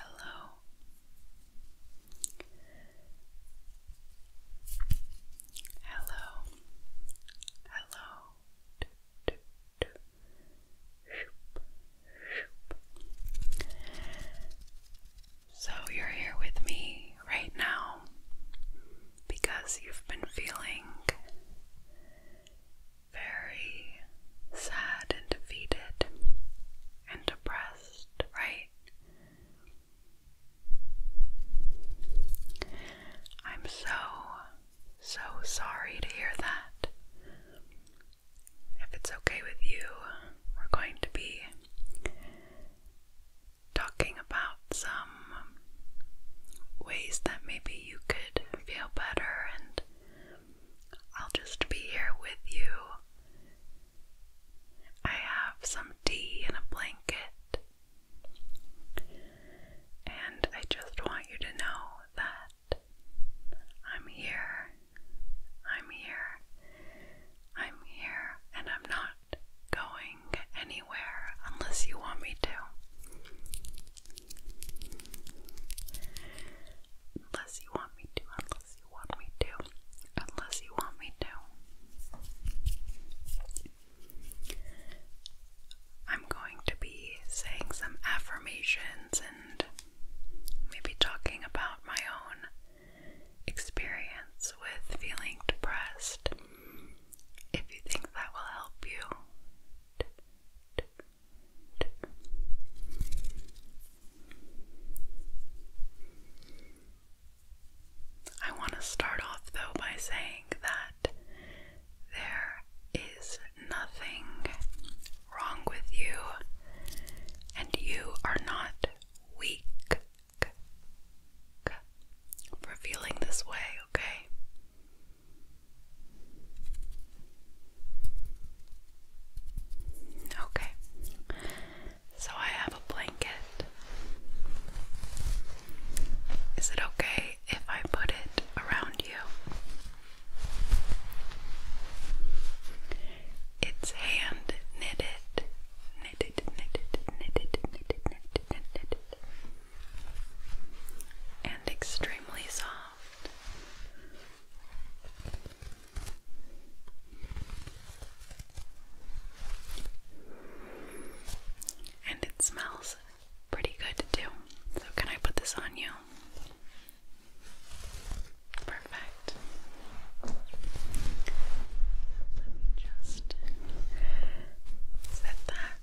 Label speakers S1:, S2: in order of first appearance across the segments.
S1: Hello. Hello. Hello. So you're here with me right now because you've been feeling very sad and defeated and depressed, right? I'm so, so sorry to hear that. If it's okay with you, we're going to be talking about some ways that maybe you could feel better, and I'll just be here with you. I have some tea and a blanket, and I just want you to know that I'm here, I'm here, I'm here, and I'm not going anywhere unless you want me to. Unless you want me to, unless you want me to, unless you want me to. I'm going to be saying some affirmations and maybe talking about my own experience with feeling depressed. If you think that will help you, I want to start off though by saying that there is nothing wrong with you, and you are not weak for feeling this way, okay? Okay, so I have a blanket. Is it okay if I put it around you? It's hand knitted, knitted, knitted, knitted, knitted, knitted, knitted, and extreme. And it smells pretty good too. So, can I put this on you? Perfect. Let me just set that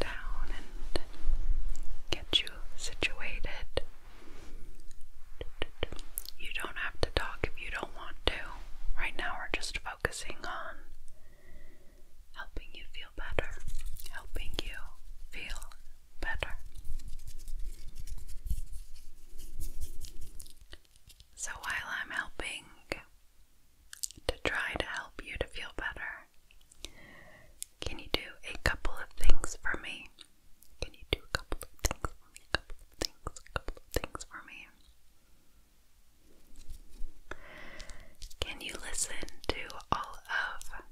S1: down and get you situated. You don't have to talk if you don't want to. Right now, we're just focusing on helping you feel better, helping you feel better. So, while I'm helping to try to help you to feel better, can you do a couple of things for me? Can you do a couple of things for me? A couple of things, a couple of things for me. Can you listen to all of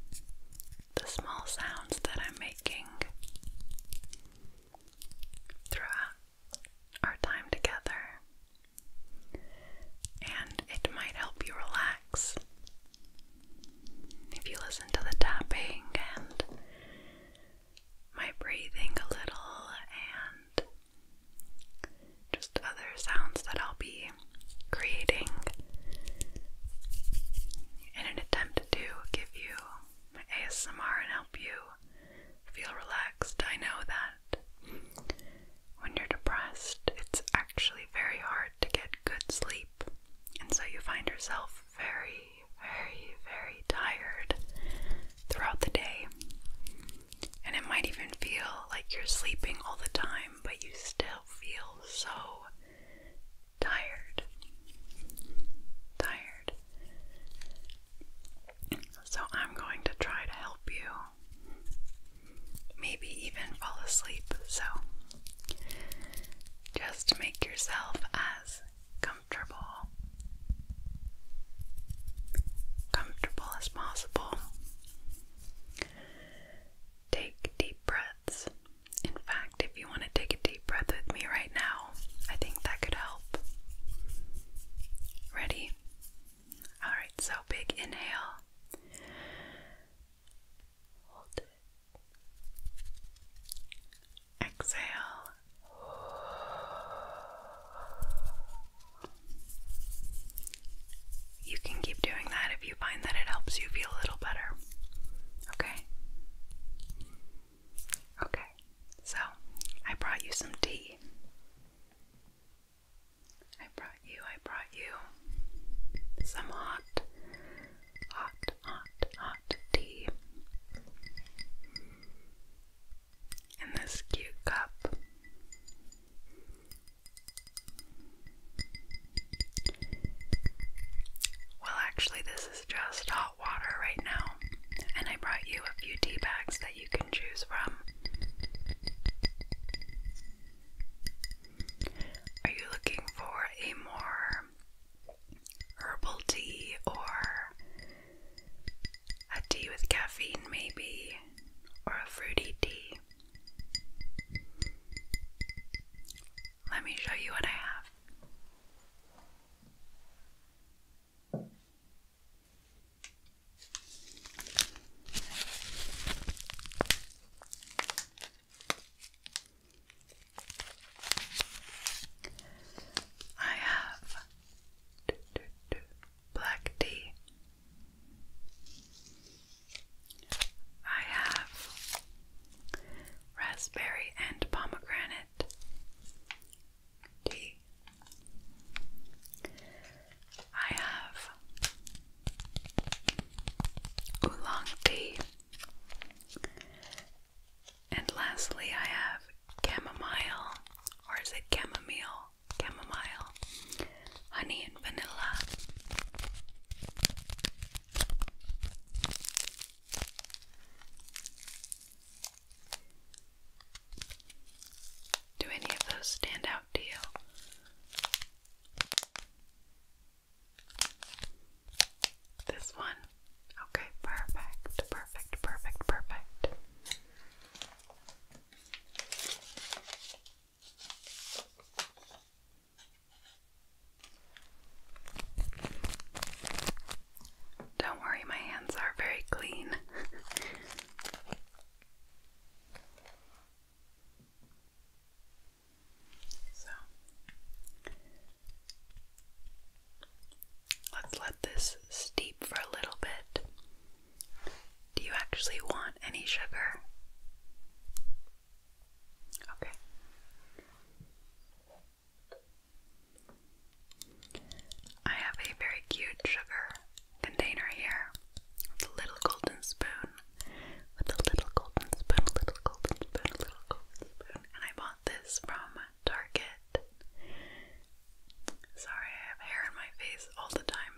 S1: the small sounds that I'm making throughout our time together? And it might help you relax if you listen to the tapping and my breathing a little and just other sounds that I'll be creating in an attempt to give you ASMR and help you feel relaxed. I know that when you're depressed, it's actually very hard to get good sleep, and so you find yourself very, very, very tired throughout the day. And it might even feel like you're sleeping all the time, but you still feel so tired. Tired. So, I'm going to try to help you maybe even fall asleep. So just make yourself as comfortable comfortable as possible. Take deep breaths. In fact, if you want to take a deep breath with me right now, I think that could help. Ready? Alright, so big inhale Hold it. Exhale. You can keep doing that if you find that it helps you feel a little better. Okay? Okay, so I brought you some tea. I brought you, I brought you some hot, hot, hot, hot tea in this cute cup. Well, actually, this is just hot water right now, and I brought you a few tea bags that you can choose from. Are you looking for a more herbal tea or a tea with caffeine, maybe, or a fruity tea? Let me show you what I have. I have black tea. I have raspberry and pomegranate tea. I have oolong tea. And lastly, I have chamomile, or is it chamomile? Chamomile, honey, and vanilla. Do any of those stand out to you? This one? Okay, perfect, perfect, perfect, perfect. Don't worry, my hands are very clean. So let's let this steep for a little bit. Do you actually want any sugar? Okay. I have a very cute sugar container here with a little golden spoon with a little golden spoon, a little golden spoon, a little golden spoon. And I bought this from Target. Sorry, I have hair in my face all the time.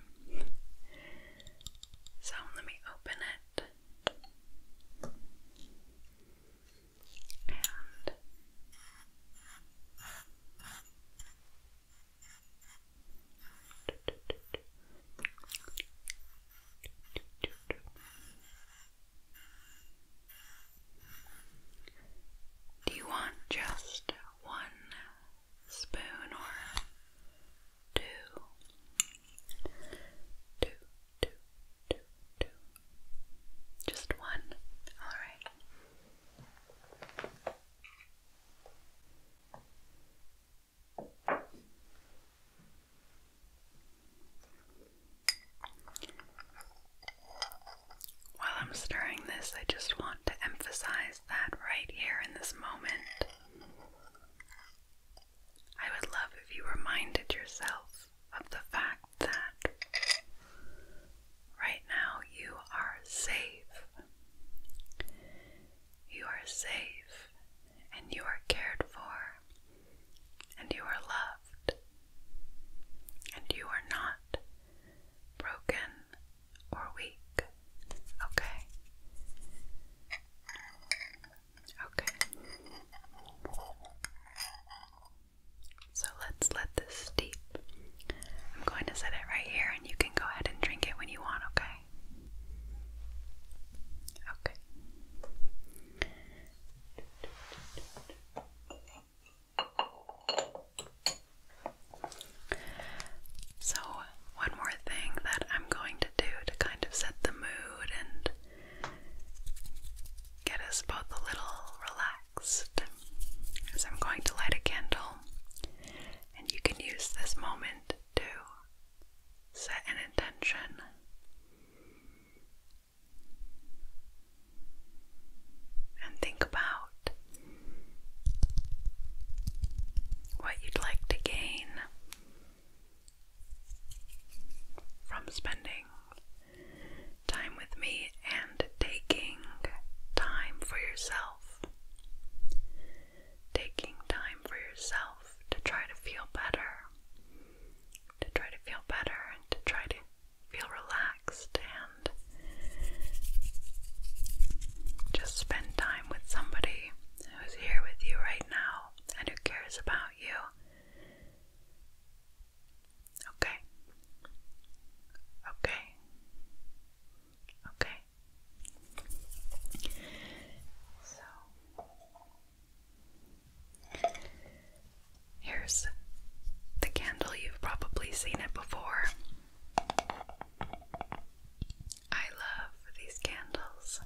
S1: So let me open it. Do you want just one spoon or two? Two, two, two, two. Just one. All right. While I'm stirring this, I just want to emphasize that right here in this moment. I would love if you reminded yourself of the fact that right now you are safe. You are safe and you are cared for and you are loved, and you are not broken or weak. Okay? Okay. So let's let this steep. I'm going to set it right here and you can go ahead and drink it when you want, okay? Okay. So, one more thing that I'm going to do to kind of set the mood and get us both a little relaxed is I'm going to light a candle, and you can use this moment to set an intention and think about what you'd like to gain from spending time with me and taking time for yourself. Taking time for yourself to try to feel better, to try to feel better and to try to feel relaxed and just spend time with somebody who's here with you right now and who cares about you. Okay. Okay. Okay. So Here's the candle. You've probably seen it before. I love these candles.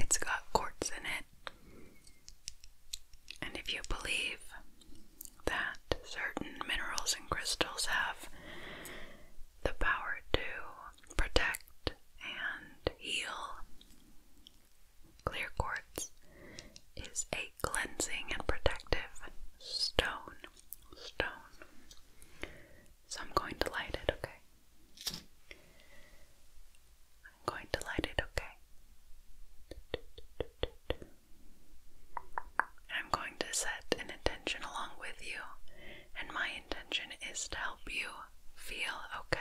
S1: It's got quartz in it, and if you believe that certain minerals and crystals have the power to protect and heal, clear quartz is a cleansing and protective stone. Stone. So I'm going to light it, okay? I'm going to light it, okay? I'm going to set an intention along with you, and my intention is to help you feel okay.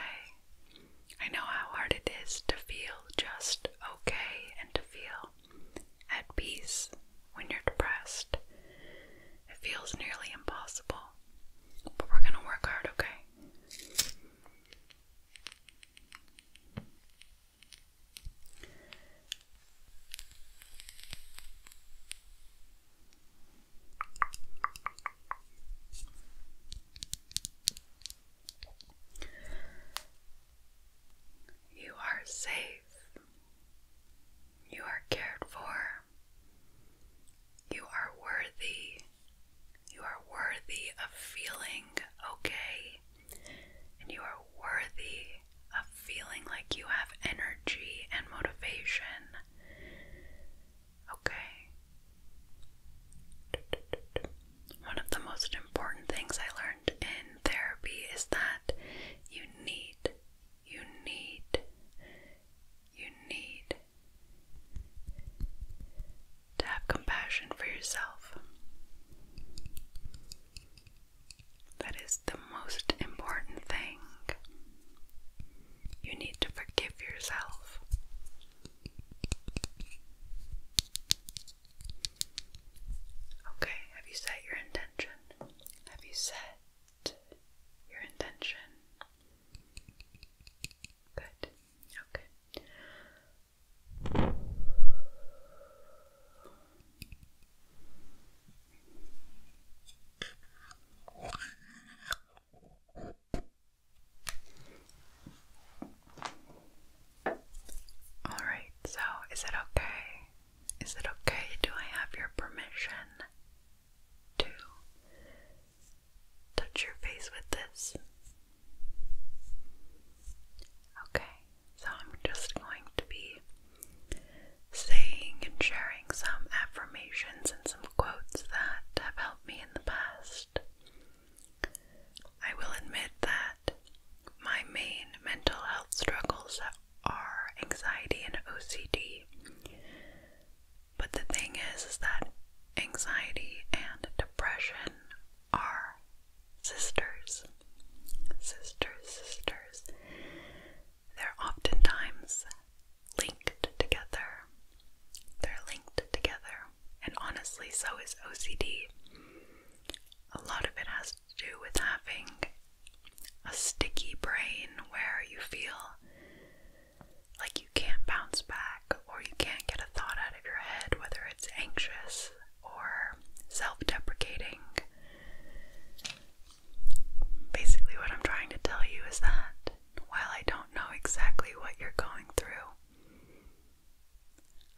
S1: I know how hard it is to feel just okay and to feel at peace when you're depressed. It feels nearly impossible, but we're going to work hard, okay? You are safe. You are cared for. You are worthy. You are worthy of feeling okay and you are worthy of feeling like you have energy and motivation. Okay. One of the most important things I learned in therapy is that you need, you need, you need to have compassion for yourself. That is the most important thing. You need to forgive yourself. Okay, have you set your intention? Have you set your intention? Good. Okay. All right, so is it okay? Is it okay? Do I have your permission to touch your face with this? Okay, so I'm just going to be saying and sharing some affirmations and some quotes that have helped me in the past. I will admit that my main mental health struggles are anxiety and OCD. But the thing is, is that anxiety and depression are sisters, sisters, sisters. They're oftentimes linked together. They're linked together. And honestly, so is OCD. A lot of it has to do with having a sticky brain where you feel like you can't bounce back or you can't get a thought out of your head, whether it's anxious, or self deprecating. Basically, what I'm trying to tell you is that while I don't know exactly what you're going through,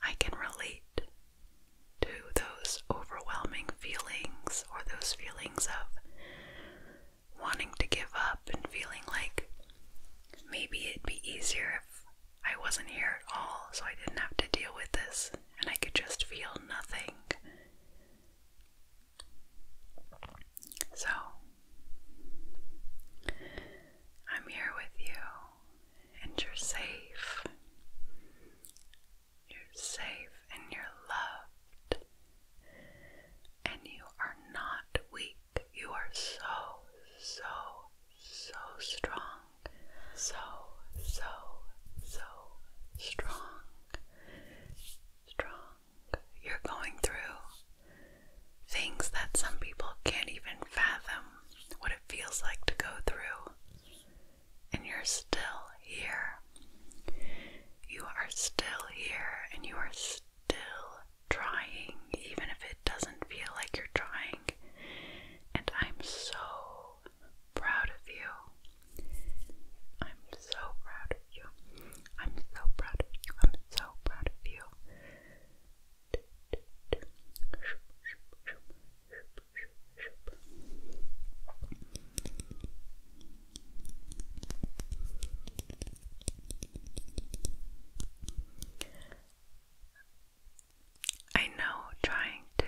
S1: I can relate to those overwhelming feelings or those feelings of wanting to give up and feeling like maybe it'd be easier if I wasn't here at all, so I didn't have to deal with this, and I could just feel nothing. So, I'm here with you, and you're safe. You're safe, and you're loved, and you are not weak. You are so, so, so strong so, so, so strong. Strong. You're going through things that some people can't even fathom what it feels like to go through, and you're still here. You are still here, and you are still trying, even if it doesn't feel like you're trying. And I'm so proud of you. I'm so proud of you. I'm so proud of you. I'm so proud of you. I know trying to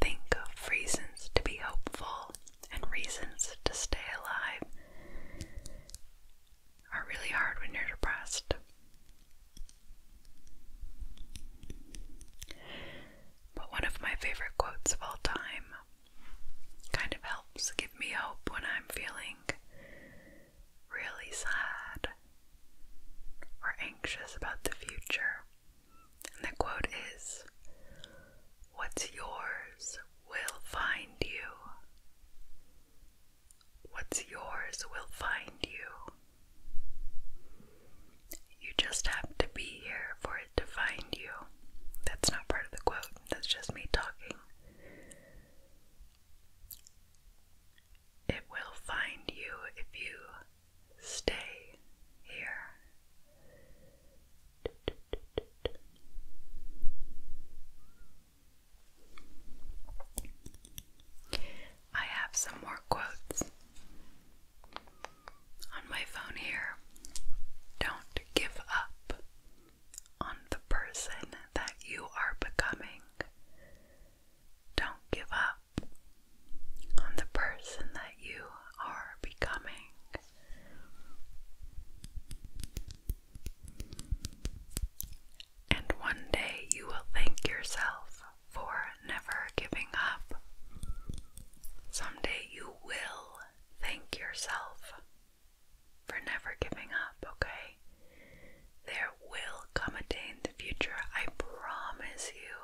S1: think of reasons to be hopeful and reasons to stay alive are really hard when you're depressed. But one of my favorite quotes of all time kind of helps give me hope when I'm feeling really sad or anxious about the future. And the quote is What's yours will find you. What's yours will find you. You just have to be here for it to find you. That's not part of the quote, that's just me talking. It will find you if you stay here. I have some more quotes on my phone here. Don't give up on the person that you are becoming. Don't give up on the person that you are becoming. And one day you will thank yourself for never giving up. Someday you will thank yourself for never giving up, okay? There will come a day in the future, I promise you,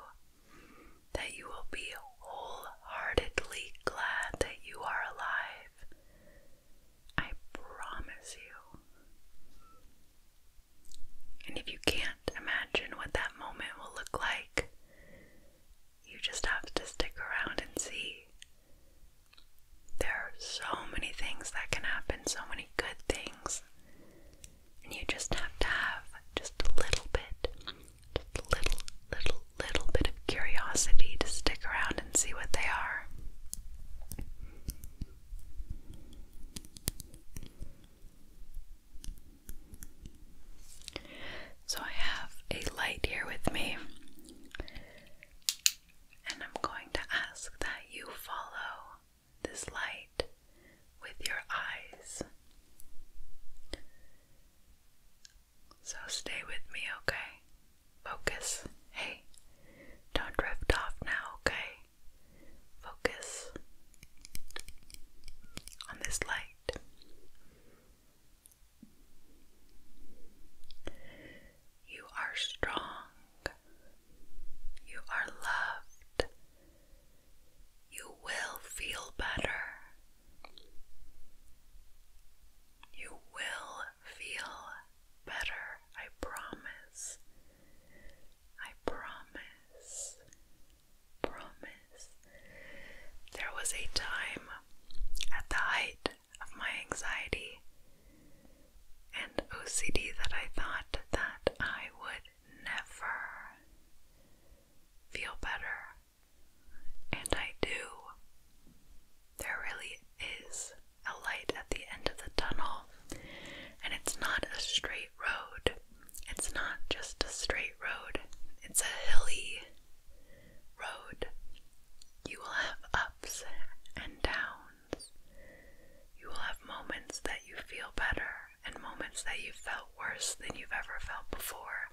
S1: that you will be wholeheartedly glad that you are alive. I promise you. And if you can't imagine what that moment will look like, you just have to stick around and see. There are so many things that can happen, so many good things. And you just have to have just a little bit, just a little, little, little bit of curiosity to stick around and see what they are. So I have a light here with me, and I'm going to ask that you follow this light with your eyes. So stay with me, okay? Focus. Hey, don't drift off now, okay? Focus on this light. You are strong. You are loved. You will feel better. You will feel better, I promise. I promise. Promise. There was a time at the height of my anxiety and OCD that I thought that I would never feel better. And I do. There really is a light at the end of the tunnel, and it's not a straight road. It's not just a straight road, it's a hilly road. You will have ups and downs. You will have moments that you feel better, and moments that you felt worse than you've ever felt before.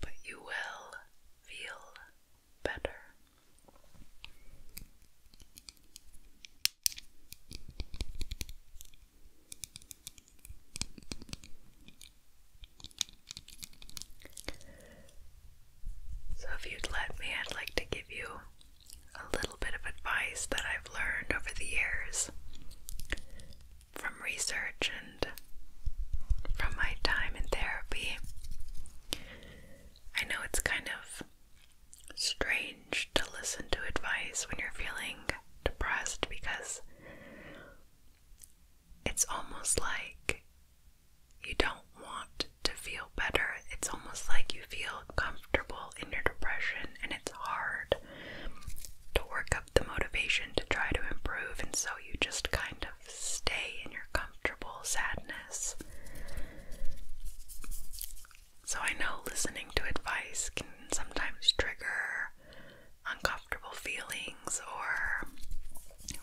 S1: But you will feel better. So, if you'd let me, I'd like to give you a little bit of advice that I've learned over the years from research and from my time in therapy. I know it's kind of strange to listen to advice when you're feeling depressed because it's almost like you don't want to feel better. It's almost like you feel come in your depression and it's hard to work up the motivation to try to improve, and so you just kind of stay in your comfortable sadness. So, I know listening to advice can sometimes trigger uncomfortable feelings or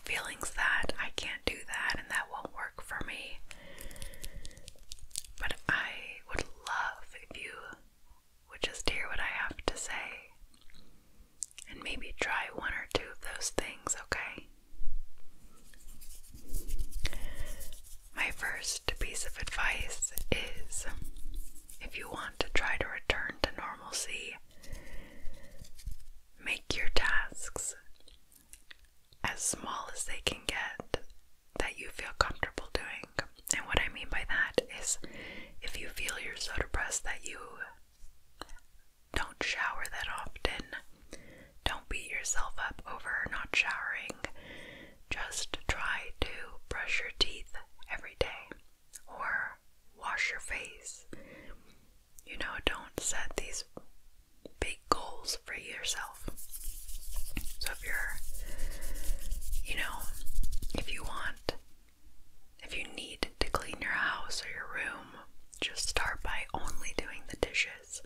S1: feelings that I can't do that and that won't work for me. But I would love if you would just hear what I have to say and maybe try one or two of those things, okay? My first piece of advice is if you want to try to return to normalcy, make your tasks as small as they can get that you feel comfortable doing. And what I mean by that is if you feel you're so depressed that you don't shower that often, don't beat yourself up over not showering. Just try to brush your teeth every day or wash your face. You know, don't set these big goals for yourself. So if you're, you know, if you want, if you need to clean your house or your room, just start by only doing the dishes.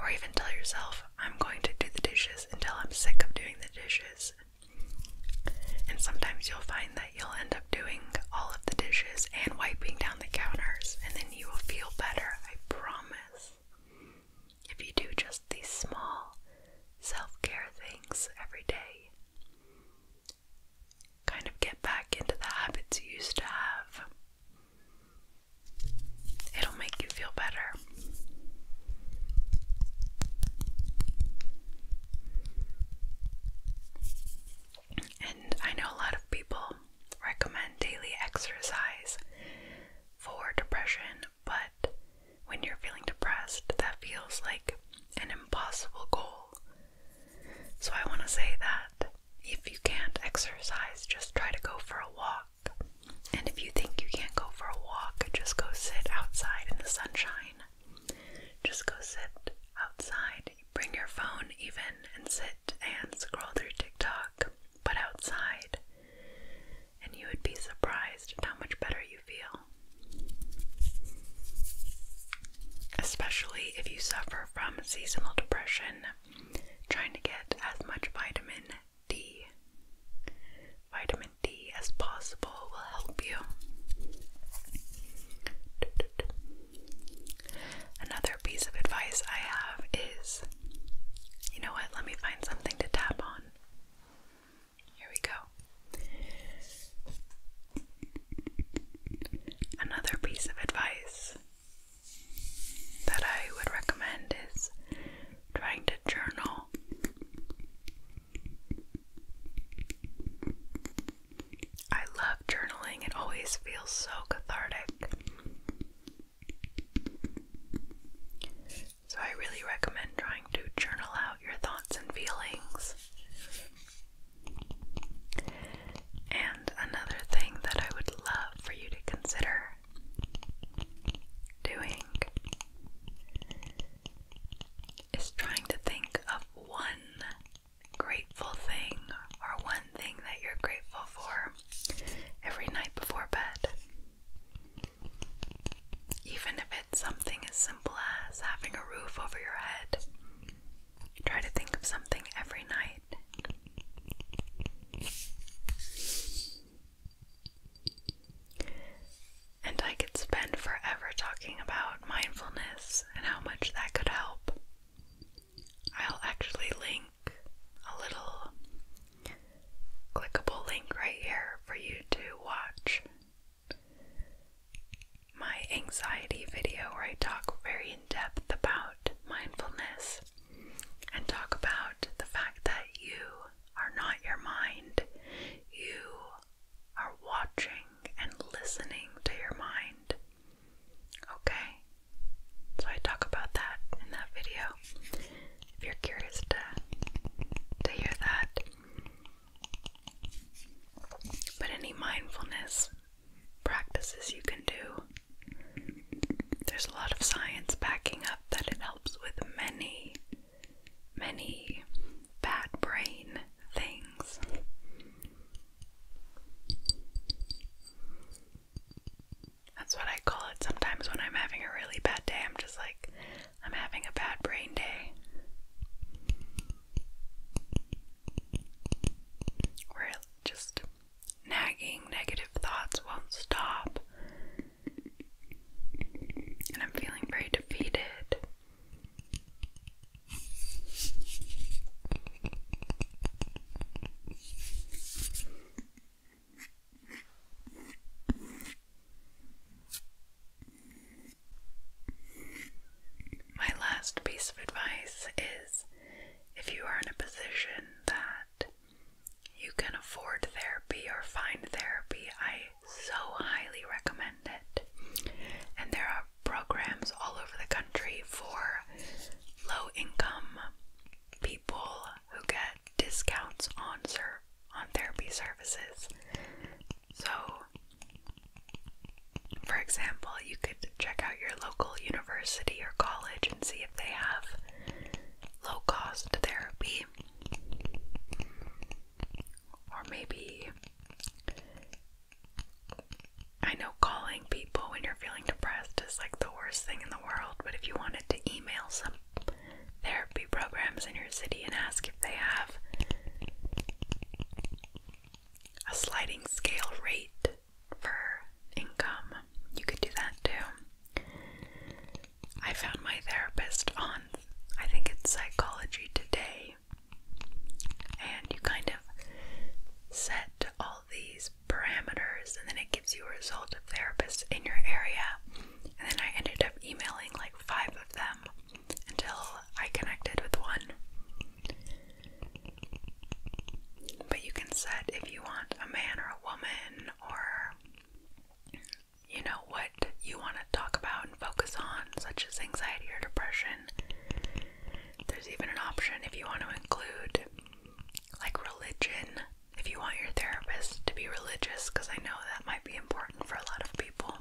S1: Or even tell yourself, I'm going to do the dishes until I'm sick of doing the dishes. And sometimes you'll find that you'll end up doing all of the dishes and wiping down the counters, and then you will feel better, I promise if you do just these small self care things every day, kind of get back into the habits you used to have, it'll make you feel better. And I know a lot of people recommend daily exercise for depression but when you're feeling depressed, that feels like an impossible goal. So I want to say that if you can't exercise, just try to go for a walk. And if you think you can't go for a walk, just go sit outside in the sunshine. Just go sit outside. Bring your phone even and sit and scroll through TikTok but outside, and you would be surprised how much better you feel. Especially if you suffer from seasonal depression, trying to get as much vitamin D. Vitamin D as possible will help you. Another piece of advice I have is you know what? Let me find something to tap on. Here we go. Another piece of advice that I would recommend is trying to journal. I love journaling, it always feels so cathartic. So, I really recommend trying to journal out your thoughts and feelings. And another thing that I would love for you to consider doing is trying to think of one grateful thing or one thing that you're grateful for every night before bed. Even if it's something as simple as having a roof over your head, try to think of something every night. And I could spend forever talking about mindfulness and how much that could help. I'll actually link a little clickable link right here for you to watch my anxiety video where I talk very in depth about mindfulness and talk about the fact that you are not your mind. You are watching and listening to your mind. Okay? So I talk about that in that video if you're curious to to hear that. But any mindfulness practices you can do, there's a lot of science backing up that it helps with many, many bad brain things. That's what I call it sometimes when I'm having a really bad day. I'm just like, I'm having a bad brain day. Where just nagging negative thoughts won't stop. And I'm feeling very defeated. My last piece of advice is if you are in a position that you can afford therapy or find therapy, I so highly recommend it. And there are programs all over the country for low income people who get discounts on ser on therapy services. So, for example, you could check out your local university or college and see if they have low cost therapy. Or maybe, I know calling people when you're feeling depressed is like the worst thing in the world, but if you wanted to email somebody, therapy programs in your city and ask if they have a sliding scale rate for income. You could do that too. I found my therapist on, I think it's Psychology Today, and you kind of set all these parameters and then it gives you a result of therapists in your area. And then I ended up emailing like five of them until I connected with one. But you can set if you want a man or a woman or you know what you want to talk about and focus on, such as anxiety or depression. There's even an option if you want to include like religion if you want your therapist to be religious, because I know that might be important for a lot of people.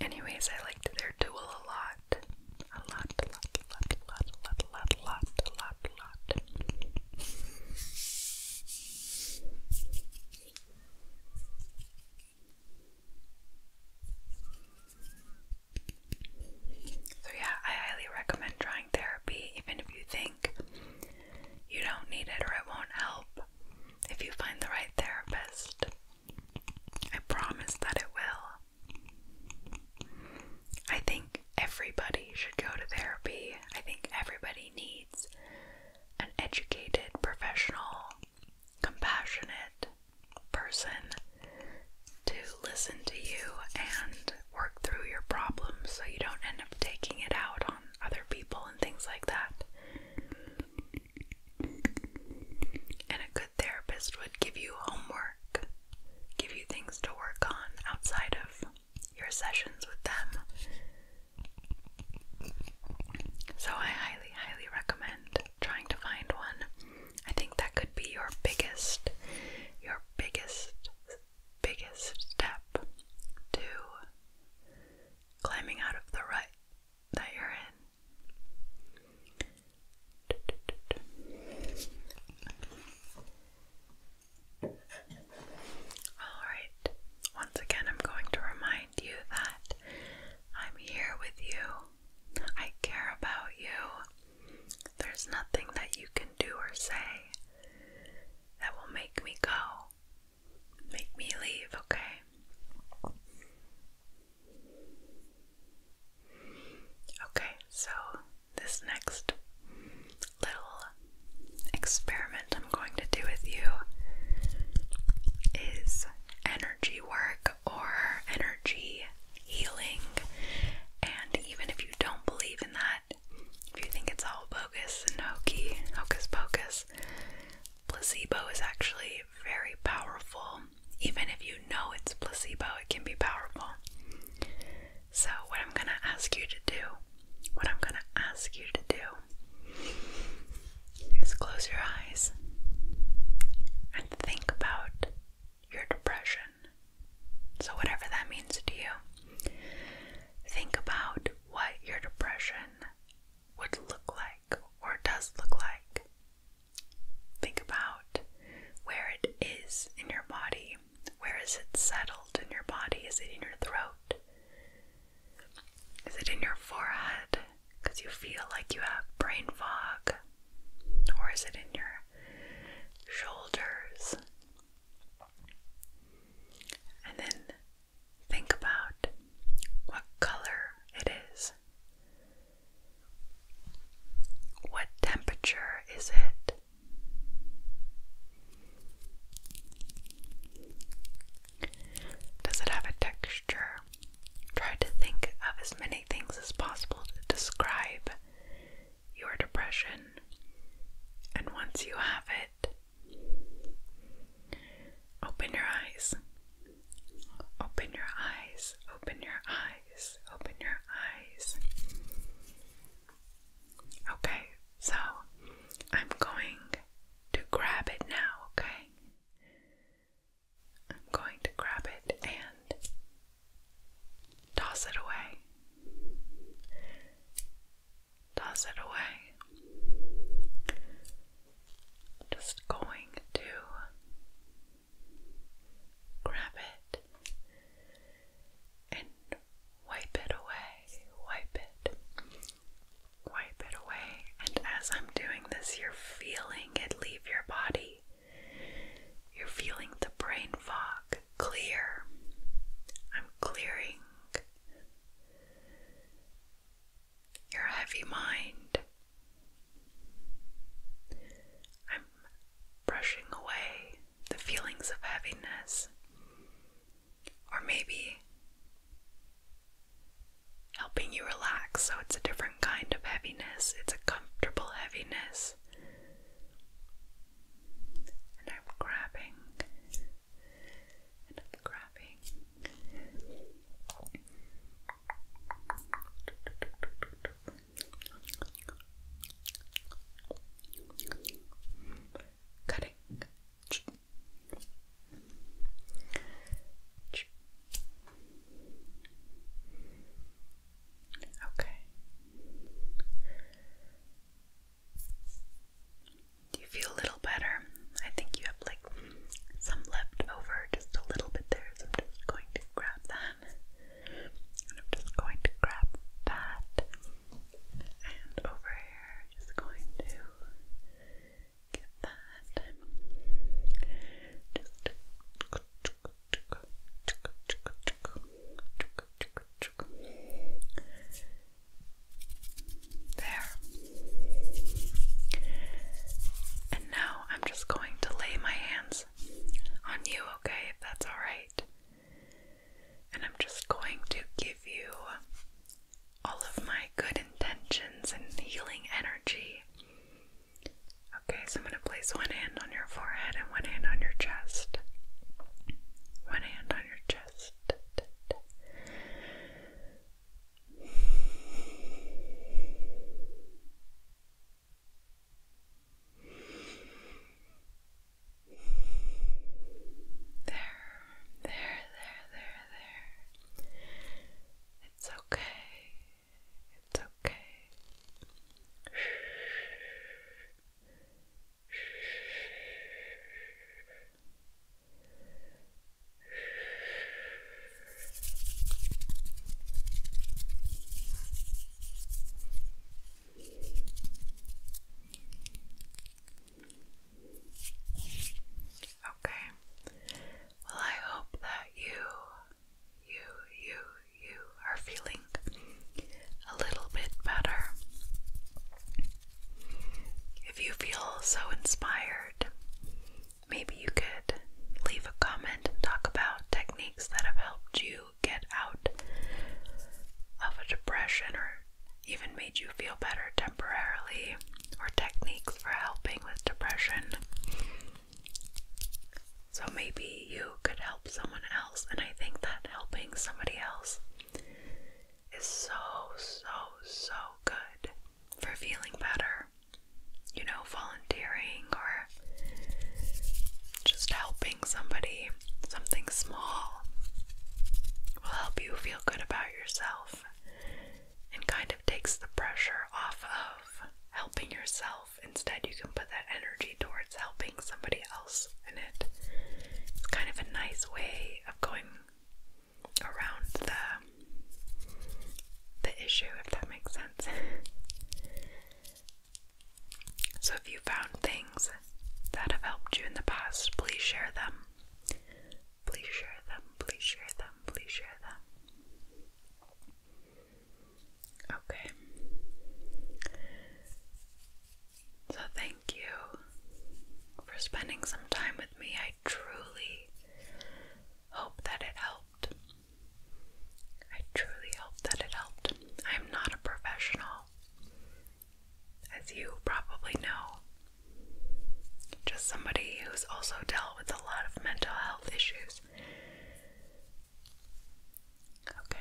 S1: Anyways, I liked their tool a lot. A lot, a lot, a lot, a lot, a lot, a lot, a lot, a lot, a lot. So, yeah, I highly recommend trying therapy, even if you think you don't need it or it won't help if you find the right therapist. I promise that it will. I think everybody should go to therapy. I think everybody needs an educated, professional, compassionate person to listen to you and work through your problems so you don't end up taking it out on other people and things like that. And a good therapist would give you homework, give you things to work on outside of your sessions with them. So I highly, highly recommend trying to find one. I think that could be your biggest, your biggest biggest step to climbing out of the rut that you're in. Alright, once again, I'm going to remind you that I'm here with you, I care about you. There's nothing that you can do or say that will make me go make me leave, okay? Okay, so this next little experiment I'm going to do with you is energy work or energy healing. And even if you don't believe in that, if you think it's all bogus and hokey, hocus pocus, placebo is actually very powerful. Even if you know it's placebo, it can be powerful. So, what I'm gonna ask you to do, what I'm gonna ask you to do is close your eyes and think about your depression. So, whatever that means to you, Think about what your depression would look like or does look like. Think about where it is in your body. Where is it settled in your body? Is it in your throat? Is it in your forehead because you feel like you have brain fog? Or is it in your shoulders? And then Think about what color it is. What temperature is it? Does it have a texture? Try to think of as many things as possible to describe your depression. And once you have it, Open your eyes. Open your eyes. Open your eyes. Open your eyes. Okay, so I'm going to grab it now, okay? I'm going to grab it and toss it away toss it away. Just going to grab it and wipe it away, wipe it, wipe it away. And as I'm doing this, you're feeling it leave your body. You're feeling the brain fog clear. I'm clearing your heavy mind. I'm brushing away the feelings of heaviness, or maybe helping you relax so it's a different kind of heaviness, it's a comfortable heaviness. And I'm grabbing and I'm grabbing Cutting. Okay you feel a little better? I think you have like some left over, just a little bit there, so I'm just going to grab that. And I'm just going to grab that. And over here, just going to get that. There. And now I'm just going to lay my hands on you, okay, if that's alright. And I'm just going to give you all of my good intentions and healing energy. Okay, so I'm going to place one hand on your forehead and one hand on your chest. One hand on your chest. There, there, there, there, there. It's okay. It's okay. Okay. Well, I hope that you, you, you, you are feeling a little bit better. If you feel so inspired, maybe you could leave a comment and talk about techniques that have helped you get out of a depression or even made you feel better temporarily, or techniques for helping with depression. So maybe you could help someone else, and I think that helping somebody else is so, so, so good for feeling better. You know, volunteering or just helping somebody, something small, will help you feel good about yourself and kind of takes the pressure off of helping yourself. Instead, you can put that energy towards helping somebody else in it. It's kind of a nice way of going around the the issue, if that makes sense. so if you found things that have helped you in the past, please share them. Please share them, please share them, please share them. Okay. So, thank you for spending some time with me. I truly, Hope that it helped. I truly hope that it helped. I'm not a professional, as you probably know. Just somebody who's also dealt with a lot of mental health issues. Okay.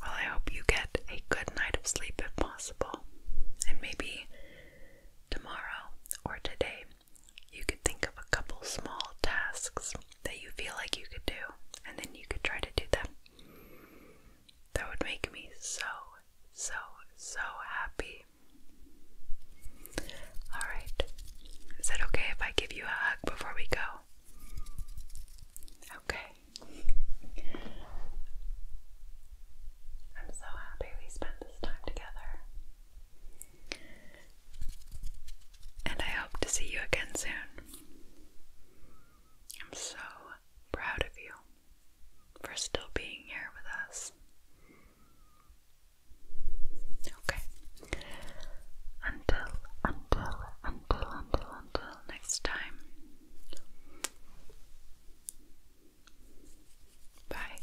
S1: Well, I hope you get a good night of sleep if possible. And maybe tomorrow or today you could think of a couple small tasks that you feel like you could do, and then you could try to do them. That would make me so, so, so happy. Alright, is it okay if I give you a hug before we go? Okay. I'm so happy we spent this time together. And I hope to see you again soon. I'm so proud of you for still being here with us. Okay. Until, until, until, until, until next time. Bye.